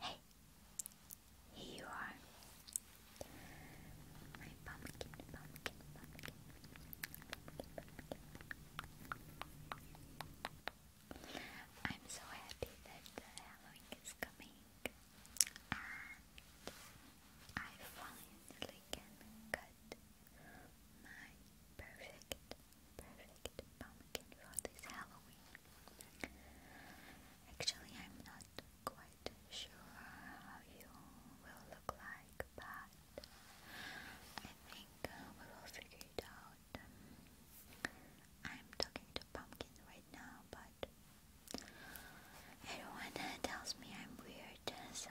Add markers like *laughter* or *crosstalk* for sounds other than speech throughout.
Hey, here you are. My pumpkin, pumpkin, pumpkin. I'm so happy that Halloween is coming, and I finally can cut my perfect perfect pumpkin for this Halloween. Actually, I'm not quite sure how you will look like, but I think uh, we will figure it out. I'm talking to pumpkin right now, but everyone tells me I'm weird, so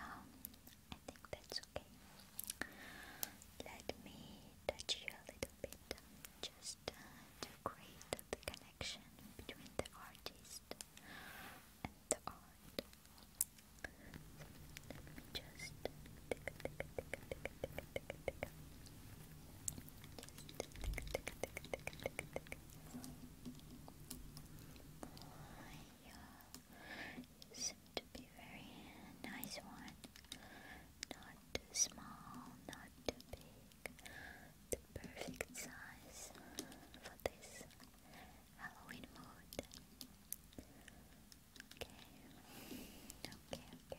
I think that's okay. Let me touch you a little little just to create the connection between the artist and the art. So let me just just you seem to be very nice one. Not too small, not too big. The perfect size for this Halloween mood. Okay. Okay, okay,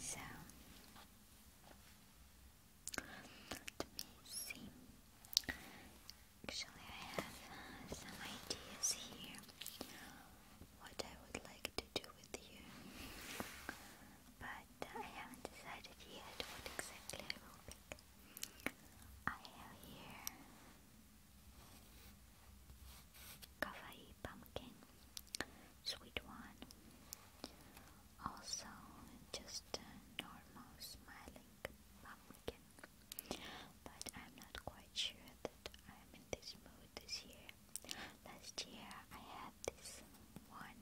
so let me see. Actually, I have uh, some ideas here. What I would like to do with you, but I haven't decided yet what exactly I will pick. I have here kawaii pumpkin, sweet one. Also, just a normal smiling pumpkin. But I'm not quite sure that I'm in this mood this year. Last year I had this one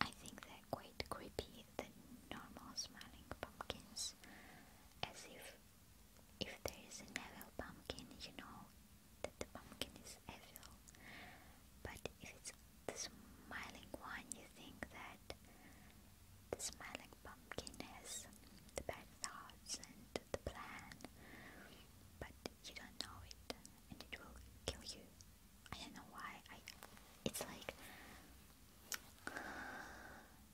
I think they're quite creepy than normal smiling pumpkins, as if if there is an evil pumpkin, you know that the pumpkin is evil. But if it's the smiling one, you think that the smiling pumpkin has the bad thoughts and the plan, but you don't know it, and it will kill you. I don't know why. I. It's like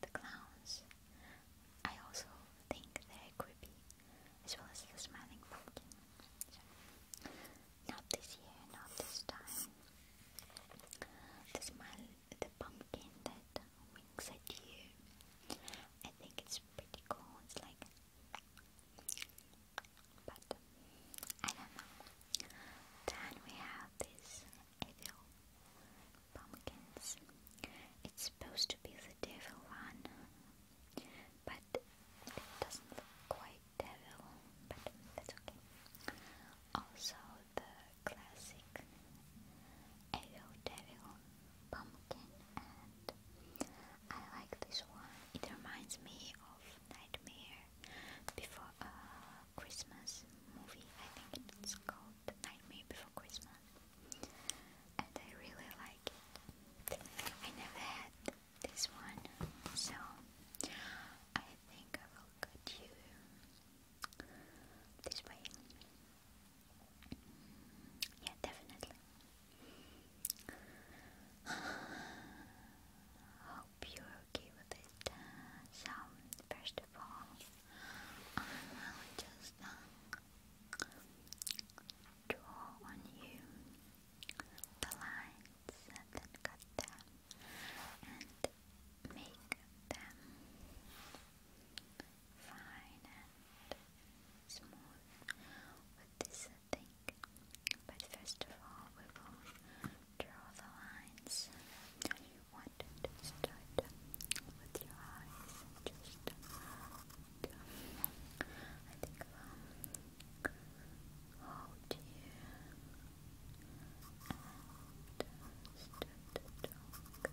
the clowns. I also think they're creepy, as well as the smiling pumpkin. not this year, not this time. The smile, the pumpkin that winks at you. I think it's pretty cool. It's like, but I don't know. Then we have this evil pumpkins. It's supposed to be the devil one, but it doesn't look quite devil, but that's okay. Also, the classic evil devil pumpkin, and I like this one. It reminds me of Nightmare Before Christmas movie. I think it's called The Nightmare Before Christmas, and I really like it. I never had this one, so I think I will get you this way. Yeah, definitely. *sighs* hope you're okay with it. so, um, first of all, I will just uh, draw on you the lines that cut them and make them fine and smooth with this thing. But first of all, we will draw the lines you want it, start with your eyes just look. I think um, hold here and start to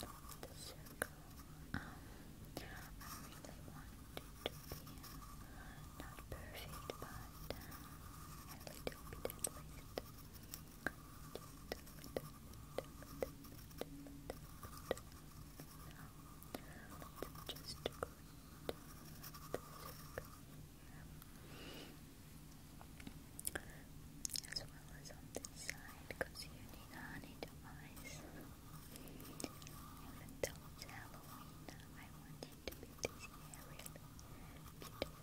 talk the circle. Um, I really want to be uh, not perfect, but uh, a little bit at least just here. As well as on this side, because you need honey to eyes. Even though it's Halloween, I want it to be this really beautiful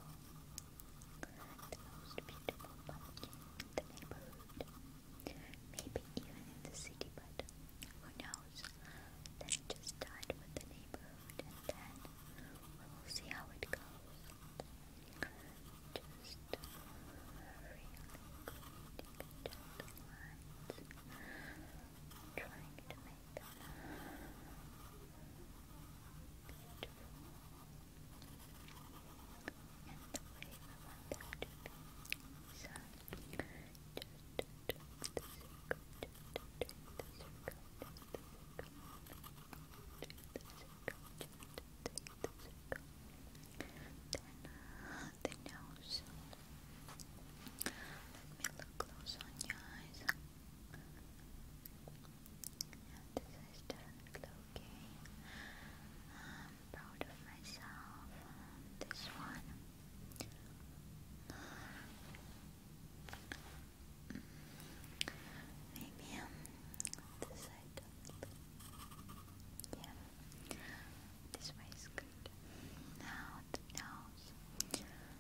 the most beautiful pumpkin in the neighborhood, maybe even in the city, but who knows? let just start with uh, the neighborhood and then we will see how it goes. Just really good, just lines, trying to make. Beautiful. the way the circle, the nose. Let me look close on your eyes. Yeah, this is does okay. proud of myself. this one. Maybe um, this side. Yeah, this way is good. Now the nose.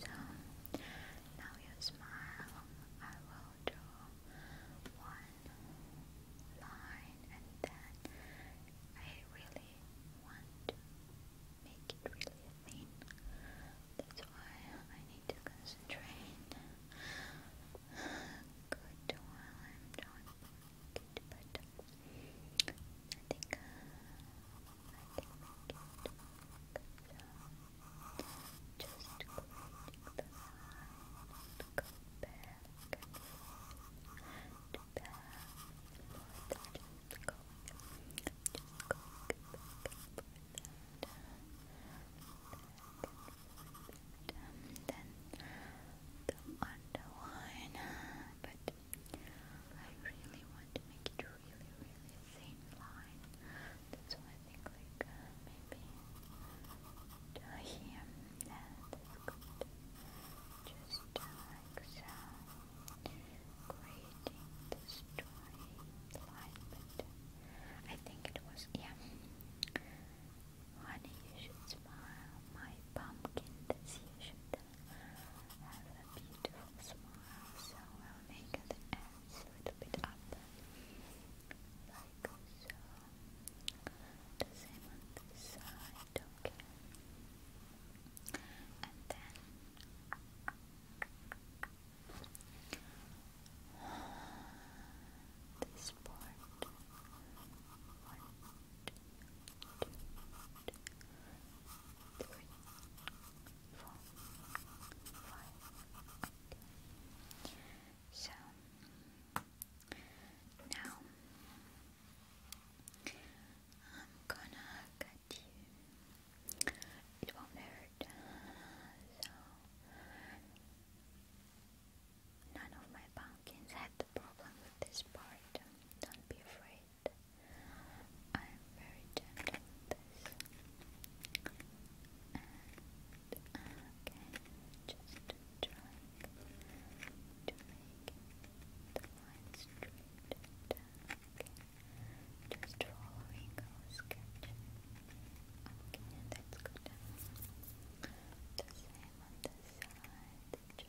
So now you smile. I will draw one line and then I really want to make it really thin. That's why I need to concentrate. Good while I'm done. Good, but I think uh, just creating the line. Go back and forth. Back and Just going. Just going back and forth. And then the underline, but I really want to make it really, really thin line. That's why I think like uh, maybe uh, here. Yeah, Just like so, creating the straight line. But uh, I think it was yeah. Honey, you should smile. My pumpkin, that's you should have a beautiful smile, so I'll make the ends little bit up, like so. The same on this side, okay? And then this part three, four, five. now I'm gonna cut you. It won't hurt. So none of my pumpkins had the problem with this part. Don't be afraid it. I'm very gentle with this. And just trying to make the line straight Okay. Just following our sketch. Okay, that's good. The same on the side. Just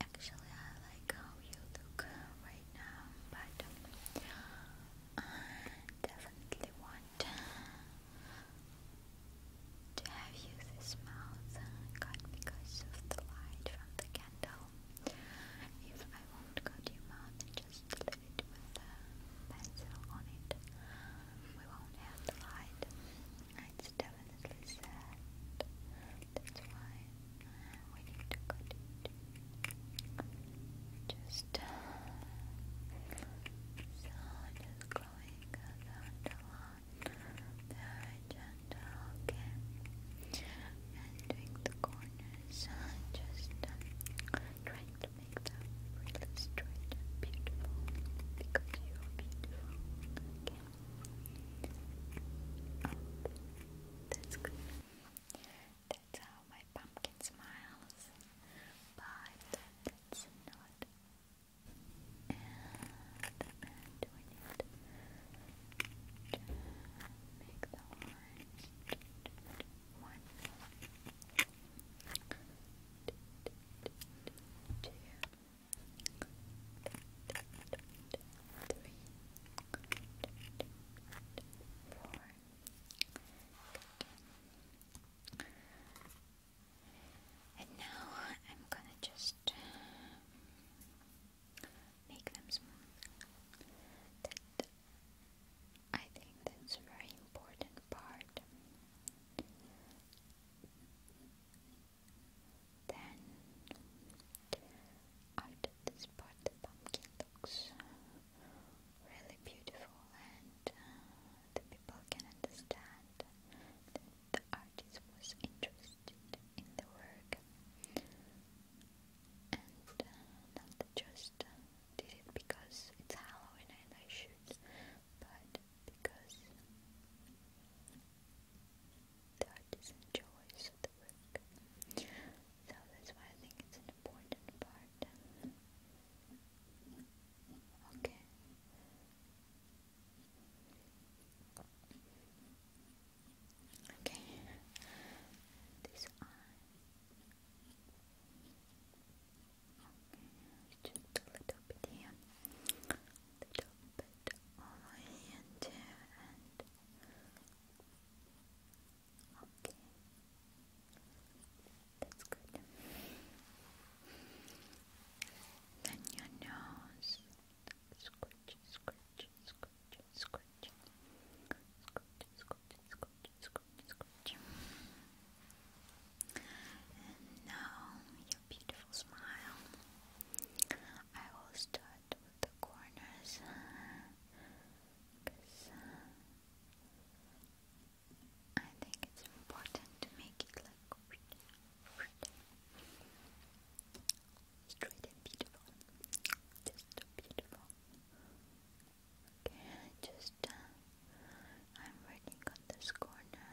Actually, I like how you look right now, but I uh, definitely want to have you this mouth cut because of the light from the candle. If I won't cut your mouth and just leave it with a uh, pencil on it, we won't have the light. It's definitely sad. That's why we need to cut it. Just uh, so just going around a lot. Very gentle, okay. And doing the corners, uh, just uh, trying to make them really straight beautiful because you're beautiful. That's good. That's how my pumpkin smiles, but that's not. And I'm doing make the orange one, two, Good. And now I'm gonna just um, make them smooth. I think that's a very important part. Then after this part the pumpkin looks really beautiful and uh, the people can understand that the artist was interested in the work and uh, not just uh, did it because it's Halloween and I should, but because the artist enjoys the work. So that's why I think it's an important part. Okay. Okay. just a little bit here the top bit on my hand here and okay that's good then your nose scratch scratch scratch scratch scratch scratch scratch scratch scratch and now your beautiful smile I will start with the corners I think it's important to make it like straight and beautiful. Just beautiful. Okay, just uh, I'm working on this corner,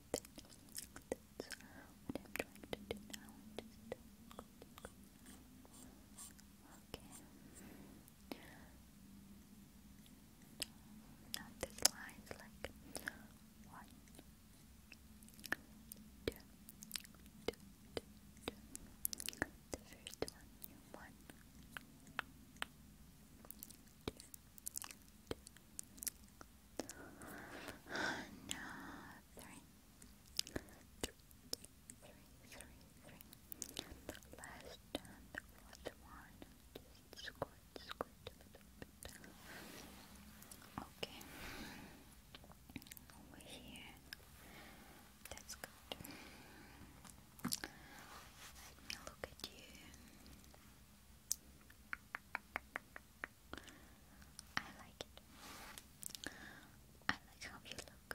that's what I'm trying to do now. Okay. Now this line is like one, two, two, two, two. The first one you one, two, two, two, no, three, three, three, three. Last and the last one. Just squirt, squirt a little Okay. Over here. That's good. Let me look at you. I like it. I like how you look.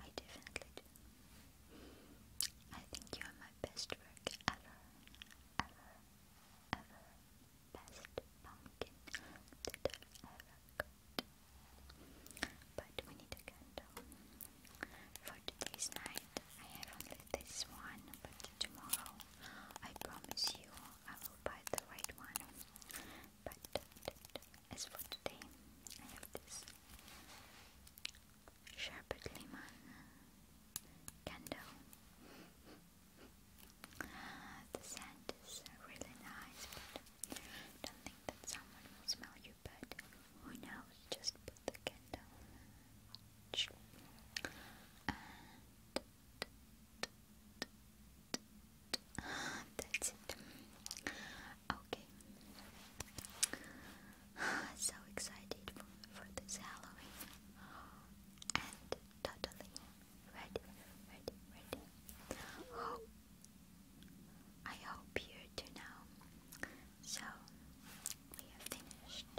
I definitely do. I think you are my best work ever, ever, ever. Best pumpkin that ever got. But we need a candle. For today's night, I have only this one, but tomorrow. I promise you I will buy the right one. But as for today, I have this sherbet lemon candle. The scent is really nice, but don't think that someone will smell you. But who knows? Just put the candle. That's it. Okay. *sighs* So excited for, for this Halloween and totally ready, ready, ready. Hope I hope you do now. So we have finished.